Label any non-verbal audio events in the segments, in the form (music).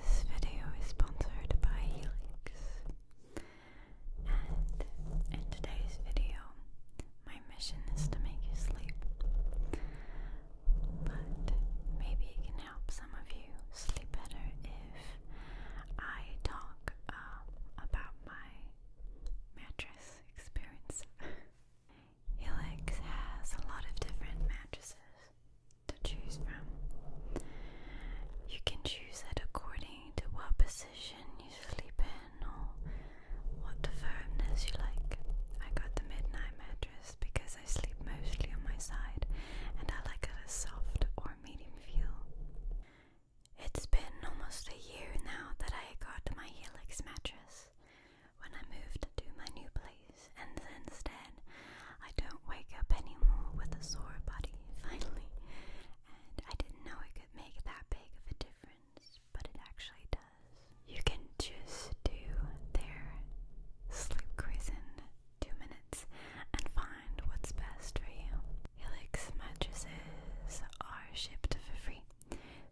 This video is sponsored by Helix. And in today's video, my mission is to make you sleep. But maybe it can help some of you sleep better if I talk uh, about my mattress experience. (laughs) Helix has a lot of different mattresses to choose from. You can choose it according to what position you sleep in or what firmness you like. I got the midnight mattress because I sleep mostly on my side and I like a soft or medium feel. It's been almost a year now that I got my Helix mattress when I moved to my new place, and since then, I don't wake up anymore with a sore body, (laughs) finally. And I didn't know it could make that big of a difference, but it actually does. You can just do their sleep quizzing two minutes and find what's best for you. Helix mattresses are shipped for free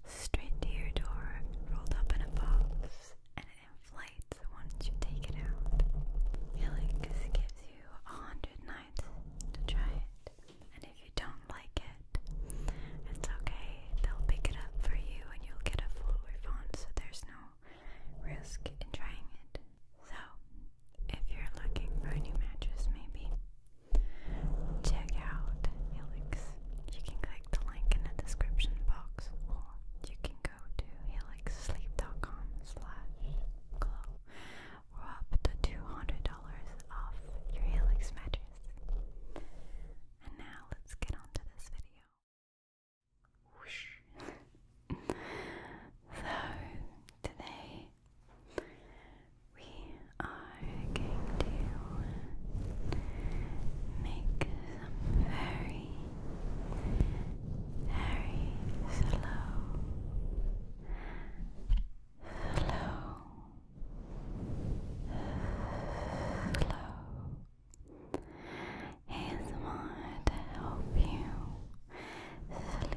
straight to your door, rolled up in a box, and it inflates once you take it out. Helix gives you a hundred nights to try it, and if you don't like it, it's okay. They'll pick it up for you, and you'll get a full refund, so there's no risk in trying it. So, if you're looking for a new mattress, maybe check out Helix. You can click the link in the description box or you can go to helixsleep.com slash glow or up to $200 off your Helix mattress. And now let's get on this video. (laughs) so today we are going to make some very, very slow, slow, slow. ASMR to help you sleep, sleep,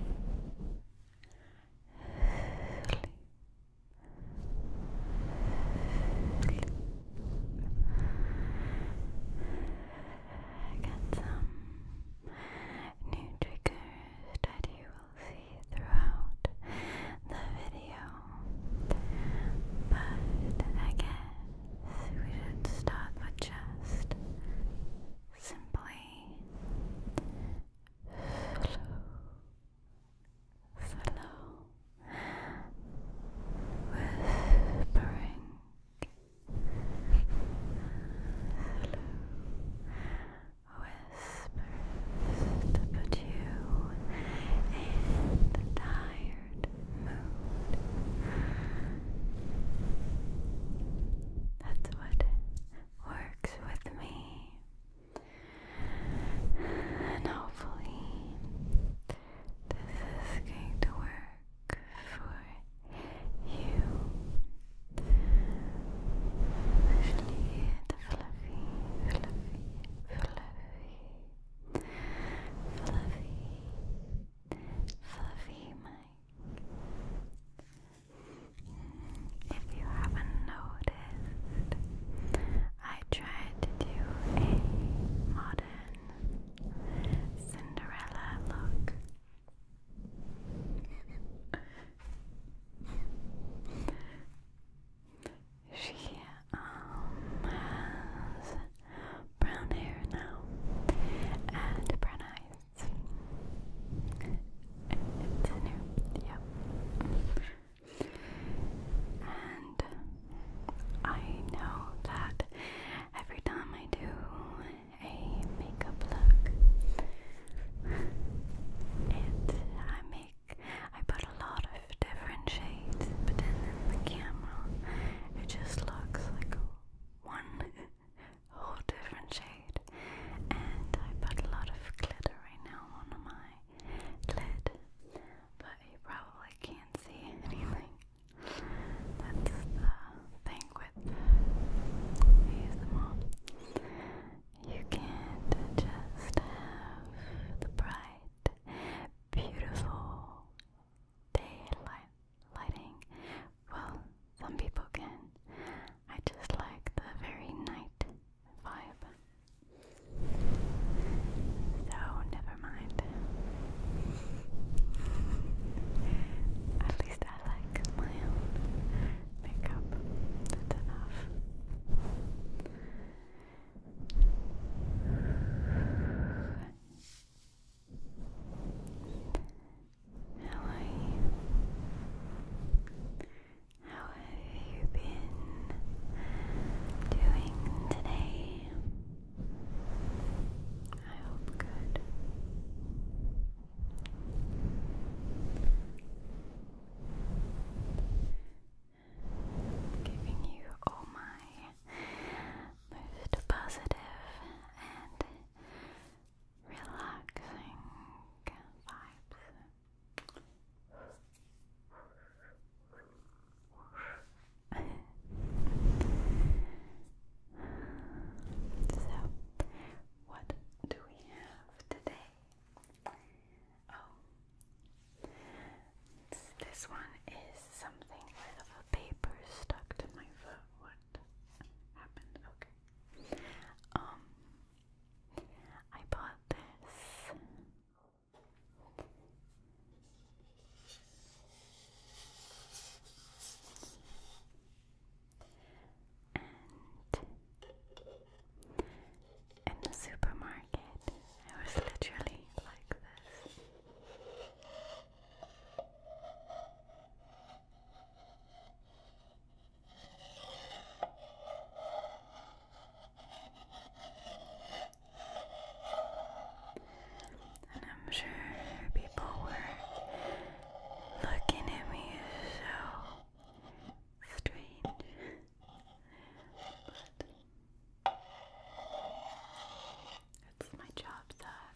Got some new triggers that you will see throughout the video. But I guess we should start with just simply slow. Hello, whispering slow whispers to put you tired mood that's what works with me and hopefully, this is going to work for you. Especially fluffy, fluffy, fluffy, fluffy, fluffy mic. If you haven't noticed, I tried to do a modern Cinderella look. she um, has brown hair now and brown eyes. Yep. And I know that every time I do a makeup look, it I make I put a lot of different shades, but then in the camera it just looks like one (laughs) whole different shade. And I put a lot of glitter now on my lid, but you probably can't see anything. That's the thing with ASMR. You can't just have the bright, beautiful daylight lighting. Well, some people can. I just like the very night vibe. So, never mind. At least I like my own makeup. That's enough. How are you? How have you been doing today? I hope good. Giving you all my most positive and relaxing vibes so what do we have today? Oh, this one is something with a paper stuck to my foot. What happened? Okay. Um, I bought this. And in the supermarket, it was literally like this. I'm sure people were looking at me so strange. but it's my job that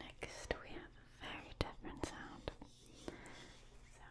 Next, we have a very different sound. So.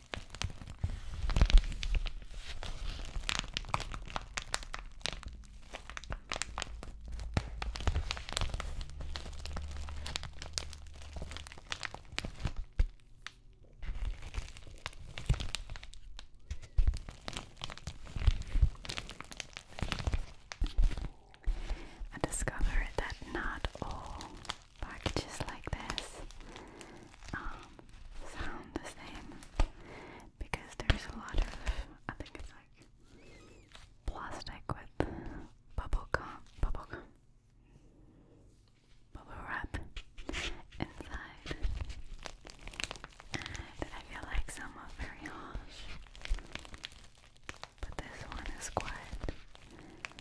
I discovered that not all packages like this um, sound the same because there's a lot of, I think it's like plastic with bubble gum, bubble gum, bubble wrap inside. And I feel like some very harsh, but this one is quiet.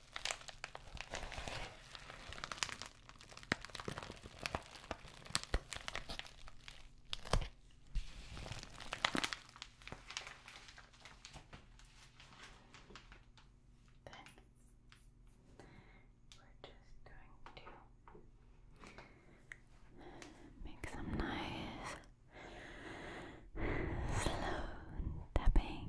Then we're just going to make some nice slow tapping.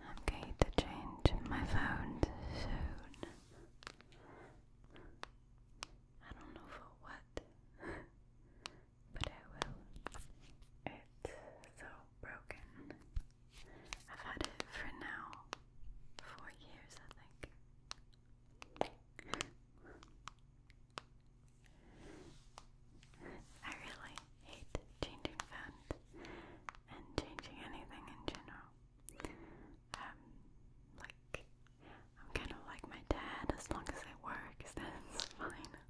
I'm going to change my phone soon. I don't know for what. (laughs) but I will. It's so broken. I've had it for now four years, I think. I really hate changing font and changing anything in general. Um, like, I'm kind of like my dad, as long as it works, (laughs) that's fine.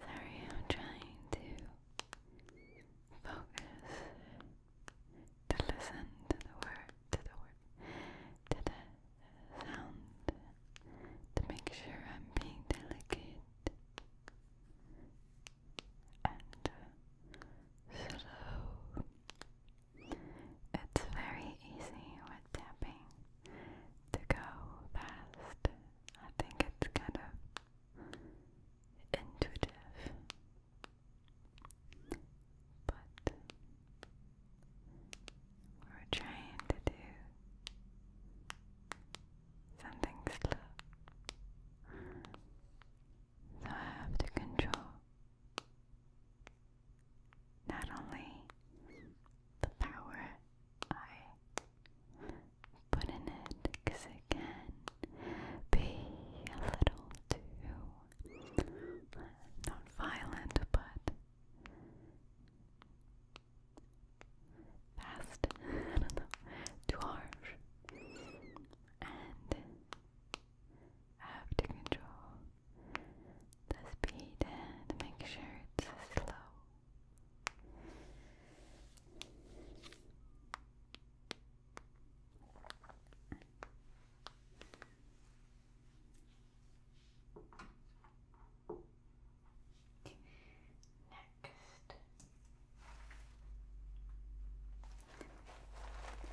Sorry, I'm trying to focus to listen to the word, to the word, to the sound, to make sure I'm being delicate and slow. It's very easy with tapping to go fast. I think it's kind of intuitive, but we're trying to do something slow, so I have to control not only the power I put in it because it can be a little too uh, not violent but fast, (laughs) I don't know, too harsh and have to control the speed and make sure it's slow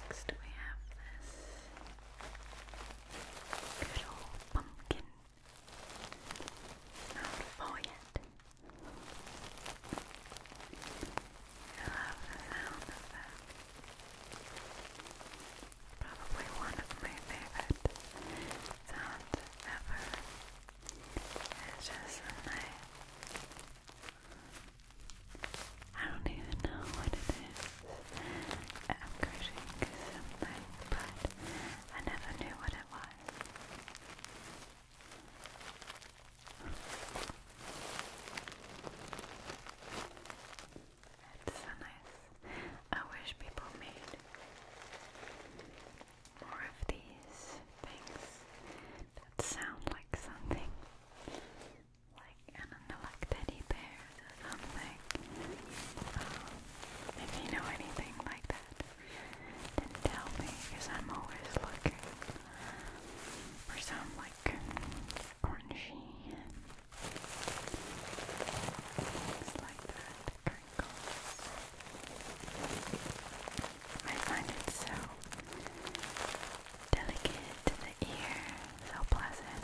Next we have this good old pumpkin. not full yet. I love the sound of that. Probably one of my favorite sounds ever. It's just a I don't even know what it is. I'm crushing something, but I never knew what it was. It's so nice. I wish people made more of these things that sound like something. Like, I don't or something. Um, if you know anything like that, then tell me, because I'm always looking for some like crunchy like that, crinkles. I find it so delicate to the ear, so pleasant.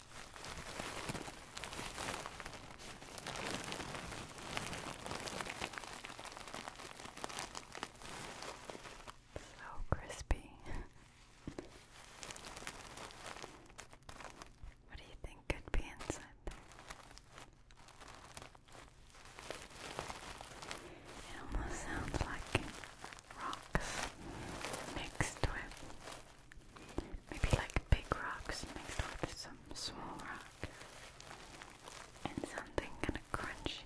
So crispy. what do you think could be inside there? It almost sounds like rocks mixed with Maybe like big rocks mixed with some small rock and something kind of crunchy.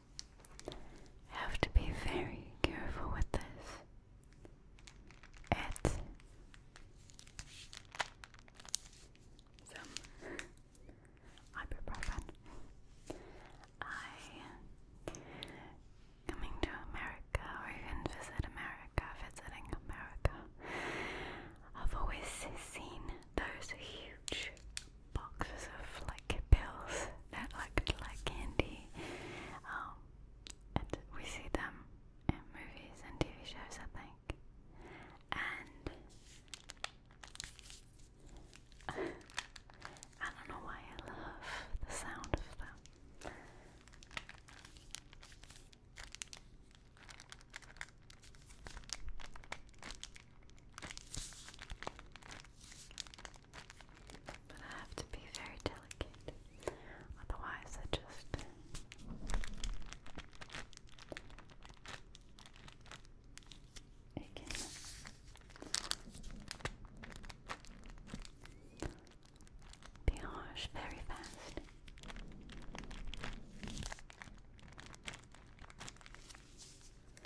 have to be very careful with this. It's some ibuprofen. I coming to America or even visit America, visiting America. I've always seen those huge boxes of like pills that looked like candy. Um, and we see them in movies and TV shows, I think. And (laughs) I don't know why I love the sound of them. But I have to be very delicate, otherwise, I just. It can be harsh very fast.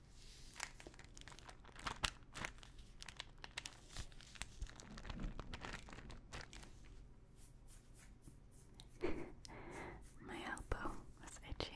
(laughs) My elbow was itchy.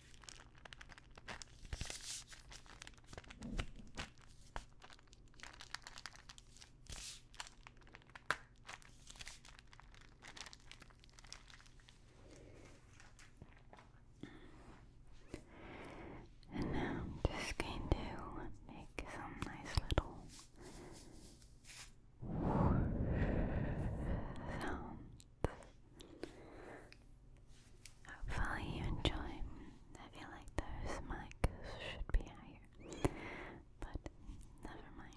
And now I'm just going to make some nice little sounds. Hopefully you enjoy. I feel like those mics should be higher, but never mind.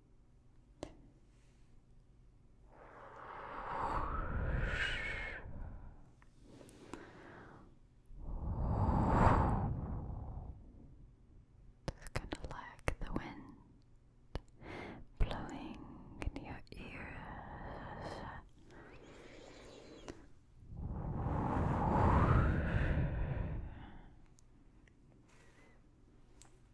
Just kind of like the wind blowing in your ears.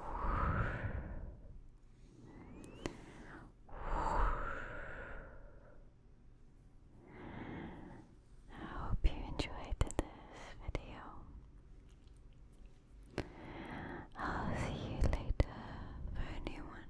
I hope you enjoyed this video. I'll see you later for a new one.